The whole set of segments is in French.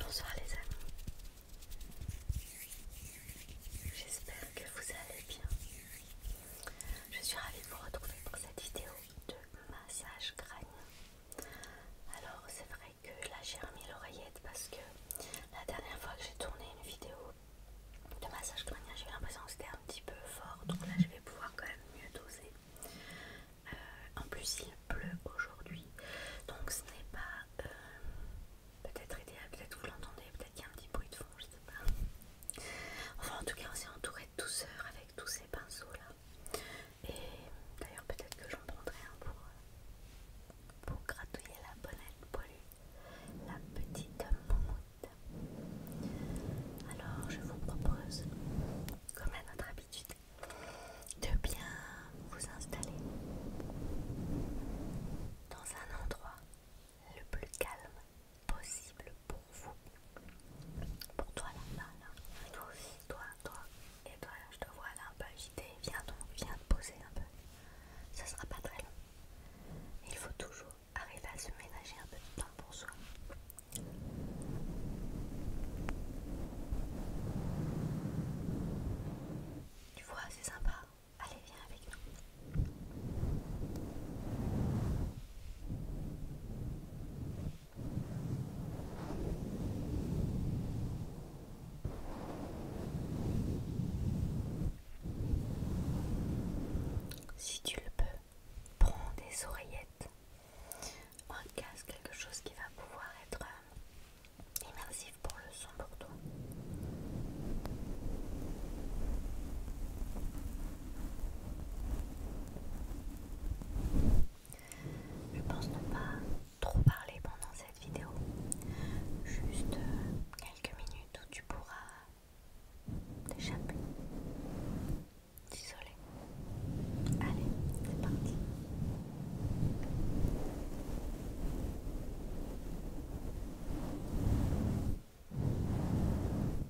Bonsoir les amis, j'espère que vous allez bien. Je suis ravie de vous retrouver pour cette vidéo de massage graine. Alors c'est vrai que là j'ai remis l'oreillette parce que la dernière fois que j'ai tourné une vidéo de massage crânien j'ai l'impression que c'était un petit peu fort donc là je vais pouvoir quand même mieux doser. Euh, en plus il pleut aujourd'hui donc ce n'est pas euh, peut-être idéal, peut-être vous l'entendez, peut-être qu'il y a un petit bruit de fond, je sais pas. Enfin en tout cas on s'est entouré de douceur avec tous ces pinceaux là. Et d'ailleurs peut-être que j'en prendrai un pour, euh, gratouiller la bonnette pollue, la petite moumoute. Alors je vous propose, comme à notre habitude, de bien vous installer dans un endroit le plus calme possible pour vous. Pour toi là-bas, là, toi aussi. Toi, toi, et toi, je te vois là un peu agité. Viens donc, viens te poser un peu. Ce sera pas très long. Il faut toujours arriver à se ménager un peu de temps pour soi. Tu vois, c'est sympa. Allez, viens avec nous. Si tu le peux, prends des oreillettes, un casque, quelque chose qui va pouvoir être euh, immersif pour le son pour toi. Je pense ne pas trop parler pendant cette vidéo. Juste euh, quelques minutes où tu pourras t'échapper. T'isoler. Allez, c'est parti.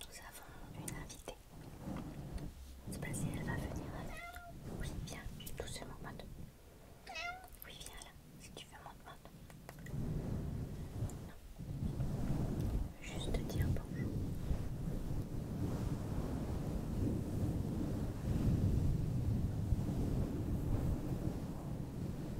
Nous avons une invitée. C'est pas si elle va venir avec nous. Oui, viens, doucement, mode. Oui, viens là, si tu veux, mode, Maud. Non. Juste te dire Bonjour.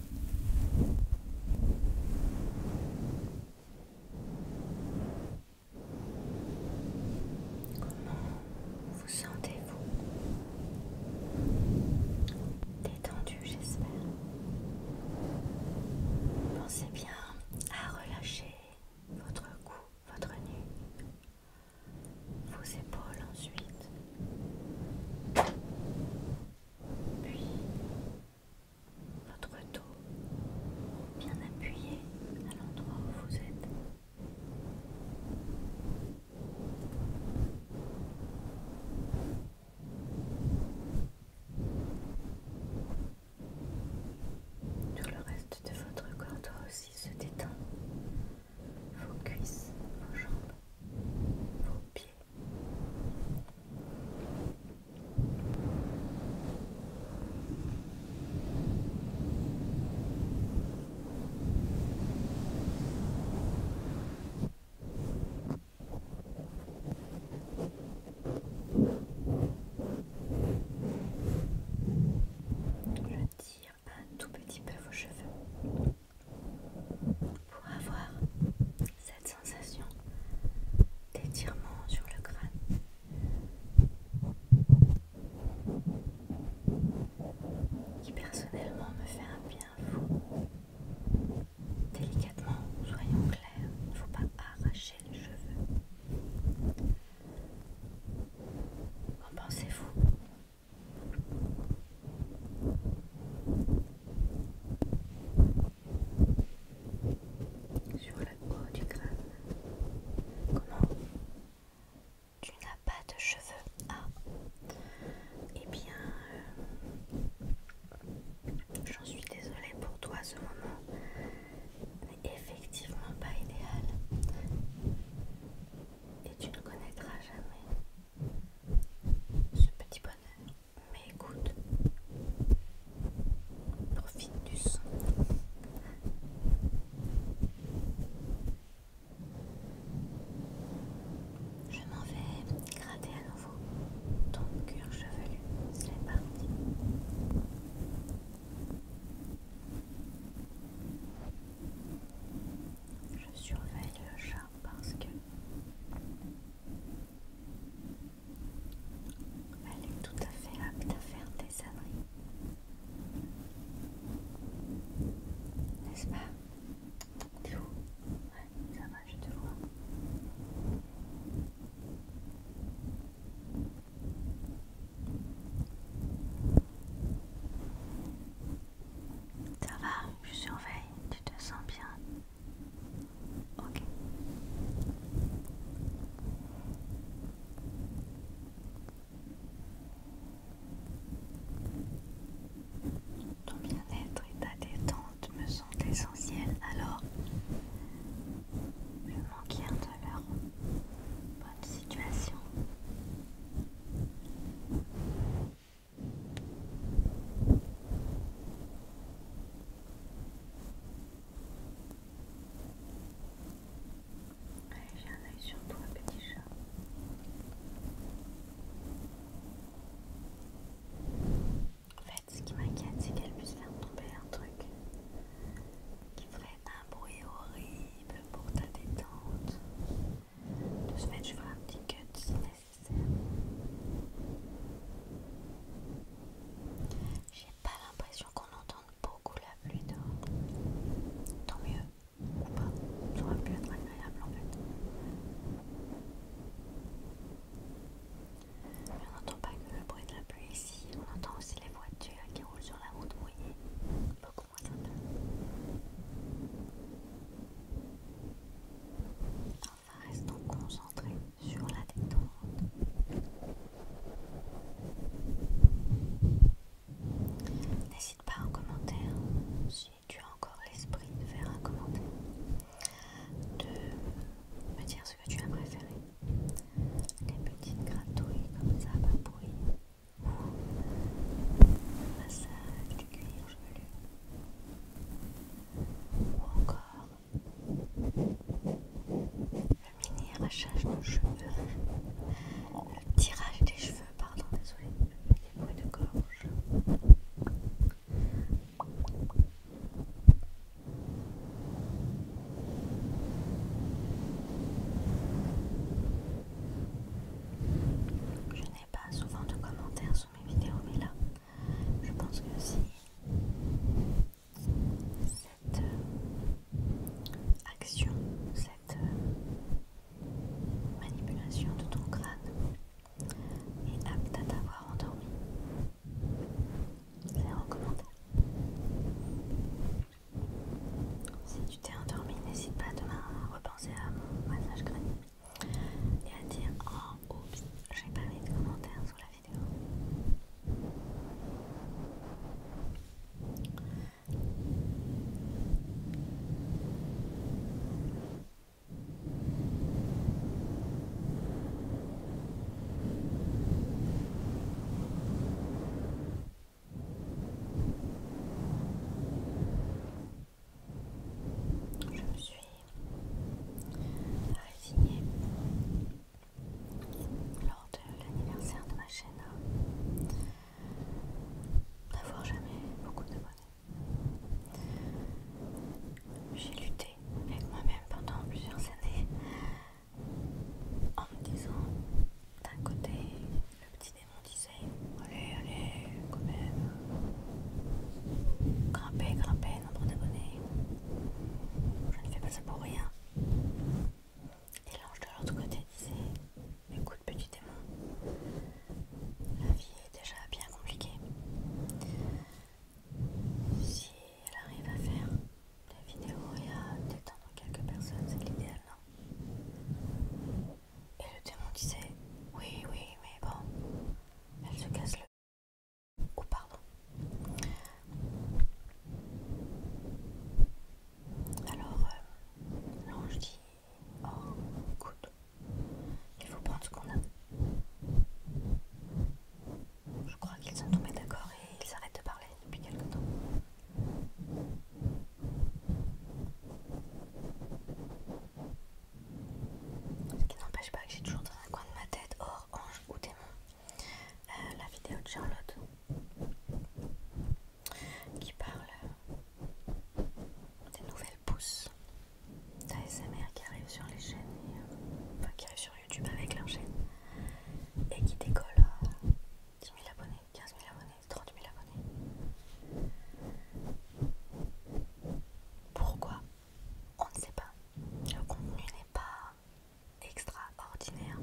Comment vous sentez-vous Détendu, j'espère. Pensez bien à relâcher votre cou, votre nuque, vos épaules ensuite, puis votre dos bien appuyé à l'endroit où vous êtes. Tout le reste de votre corps doit aussi se détendre. Vos cuisses, vos jambes, vos pieds. Je tire un tout petit peu vos cheveux pour avoir cette sensation d'étirement sur le crâne. Qui personnellement me fait un bien fou. Délicatement, soyons clairs, il ne faut pas arracher les cheveux. Qu'en pensez-vous sur la peau du crâne. Comment Tu n'as pas de cheveux Ah Eh bien, euh, j'en suis désolée pour toi ce moment. N'est effectivement pas idéal. Et tu ne connaîtras jamais ce petit bonheur. Mais écoute, profite du son. Je m'en vais gratter à nouveau ton cuir chevelu. C'est parti. Je surveille le chat parce que elle est tout à fait apte à faire des âneries. N'est-ce pas T'es où ça va, je te vois. Ça va, je surveille, tu te sens bien. Ok. Ton bien-être et ta détente me sont essentiels, alors je m'enquière de leur bonne situation j'ai un oeil sur toi, petit chat. En fait, ce qui m'inquiète, c'est qu'elle puisse faire tomber un truc qui ferait un bruit horrible pour ta détente. De ce fait, je ferai un petit cut si nécessaire. J'ai pas l'impression qu'on entende beaucoup la pluie dehors. Tant mieux, ou pas, ça aurait pu être agréable en fait. Mais on n'entend pas que le bruit de la pluie ici, on entend aussi les voitures qui roulent sur la route mouillée, Enfin, restons concentrés sur la détente. N'hésite pas en commentaire, si tu as encore l'esprit de faire un commentaire, de me dire ce que tu as préféré. Les petites gratouilles comme ça, pas bruit massage du cuir chevelu ou encore le mini arrachage de cheveux, le tirage des cheveux, pardon, désolé, les bruits de gorge. Je n'ai pas souvent de commentaires sous mes vidéos, mais là, je pense que si cette euh, action, cette euh, manipulation de ton crâne est apte à t'avoir endormi, c'est en commentaire. Si tu t'es endormi, n'hésite pas demain à repenser à mon massage gratuit. et à dire Oh, oups, j'ai pas mis de commentaires sur la vidéo. Je me suis résignée lors de l'anniversaire de ma chaîne d'avoir n'avoir jamais beaucoup de d'abonnés. J'ai lutté avec moi-même pendant plusieurs années en me disant d'un côté le petit démon disait allez allez quand même grimpez grimpez nombre d'abonnés je ne fais pas ça pour rien et l'ange de l'autre côté disait écoute petit démon la vie est déjà bien compliquée si elle arrive à faire la vidéo y a détendre quelques personnes, c'est l'idéal, non Et le démon disait Oui, oui, mais bon, elle se casse le. Oh, pardon. Alors, euh, l'ange dit Oh, écoute, il faut prendre ce qu'on a. Je crois qu'ils sont tombés d'accord et ils arrêtent de parler depuis quelques temps. Ce qui n'empêche pas que j'ai toujours dans un coin de ma tête, hors ange ou démon, euh, la vidéo de Charlotte qui parle euh, des nouvelles pousses d'ASMR qui arrivent sur les chaînes, euh, enfin qui arrivent sur YouTube avec leur chaîne et qui décolle. 10 000 abonnés, 15 000 abonnés, 30 000 abonnés. Pourquoi On ne sait pas. Le contenu n'est pas extraordinaire.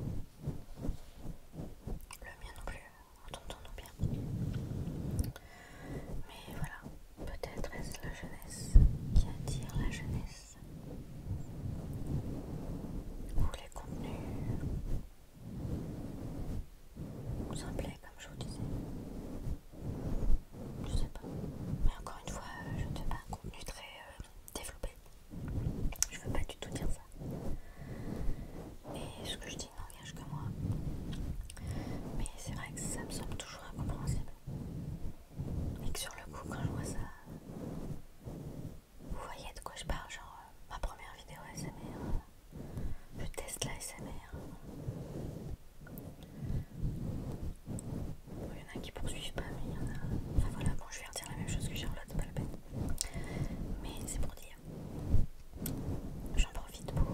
Le mien non plus, entendons-nous bien. Mais voilà, peut-être est-ce la jeunesse qui attire la jeunesse ou les contenus plaît comme je vous disais. Je sais pas. Mais encore une fois, euh, je ne fais pas un contenu très euh, développé. Je veux pas du tout dire ça. Et ce que je dis n'engage que moi. Mais c'est vrai que ça me semble toujours incompréhensible. Et que sur le coup, quand je vois ça, vous voyez de quoi je parle, genre euh, ma première vidéo SMR, euh, le test teste la SMR. Bon, il y en a qui poursuivent pas, mais il y en a. Enfin voilà, bon, je vais redire la même chose que Charlotte, c'est pas la peine. Mais c'est pour dire. J'en profite pour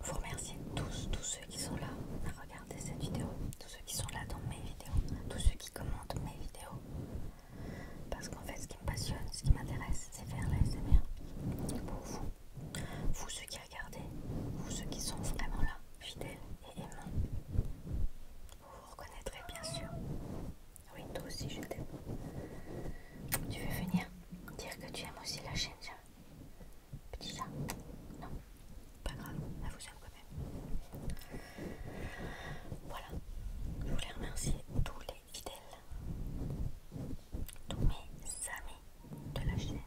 vous remercier tous, tous ceux qui sont là à regarder cette vidéo, tous ceux qui sont là dans mes vidéos, tous ceux qui commentent mes vidéos. Parce qu'en fait, ce qui me passionne, ce qui m'intéresse, c'est faire la SMR pour vous. Vous ceux qui regardez, vous ceux qui sont vraiment là, fidèles et aimants. Vous vous reconnaîtrez bien sûr. Oui, toi aussi je t'aime. Tu veux venir dire que tu aimes aussi la chaîne, Petit chat Non pas grave, elle vous aime quand même. Voilà, je voulais remercier tous les fidèles, tous mes amis de la chaîne.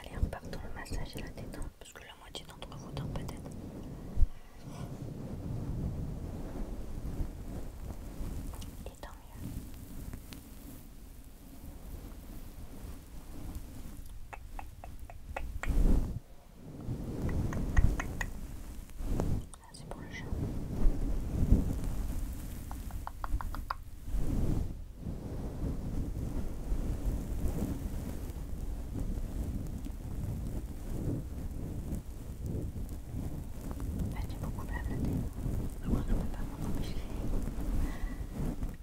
Allez, repartons le massage et la détente, parce que la moitié d'entre vous dorme peut-être. Et tant mieux. Ah, c'est pour le chat. Elle fait beaucoup blablater. Je crois que je peux pas m'en empêcher.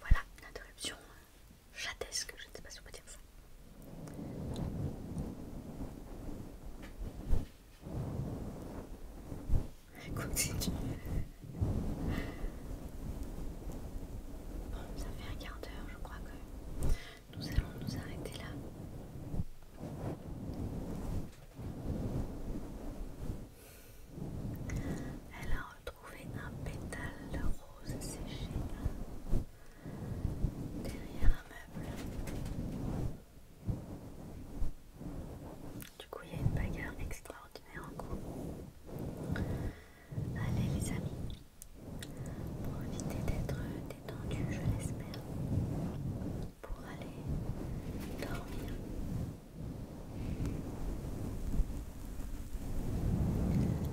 Voilà l'interruption interruption chatesque, je ne sais pas si on peut dire ça. Bon, ça fait un quart d'heure, je crois que nous allons nous arrêter là. Elle a retrouvé un pétale de rose séché derrière un meuble. Du coup, il y a une bagarre extraordinaire en cours. Allez les amis, pour éviter d'être détendu, je l'espère, pour aller dormir.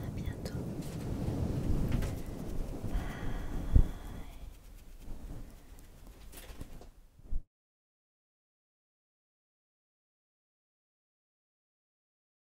À bientôt.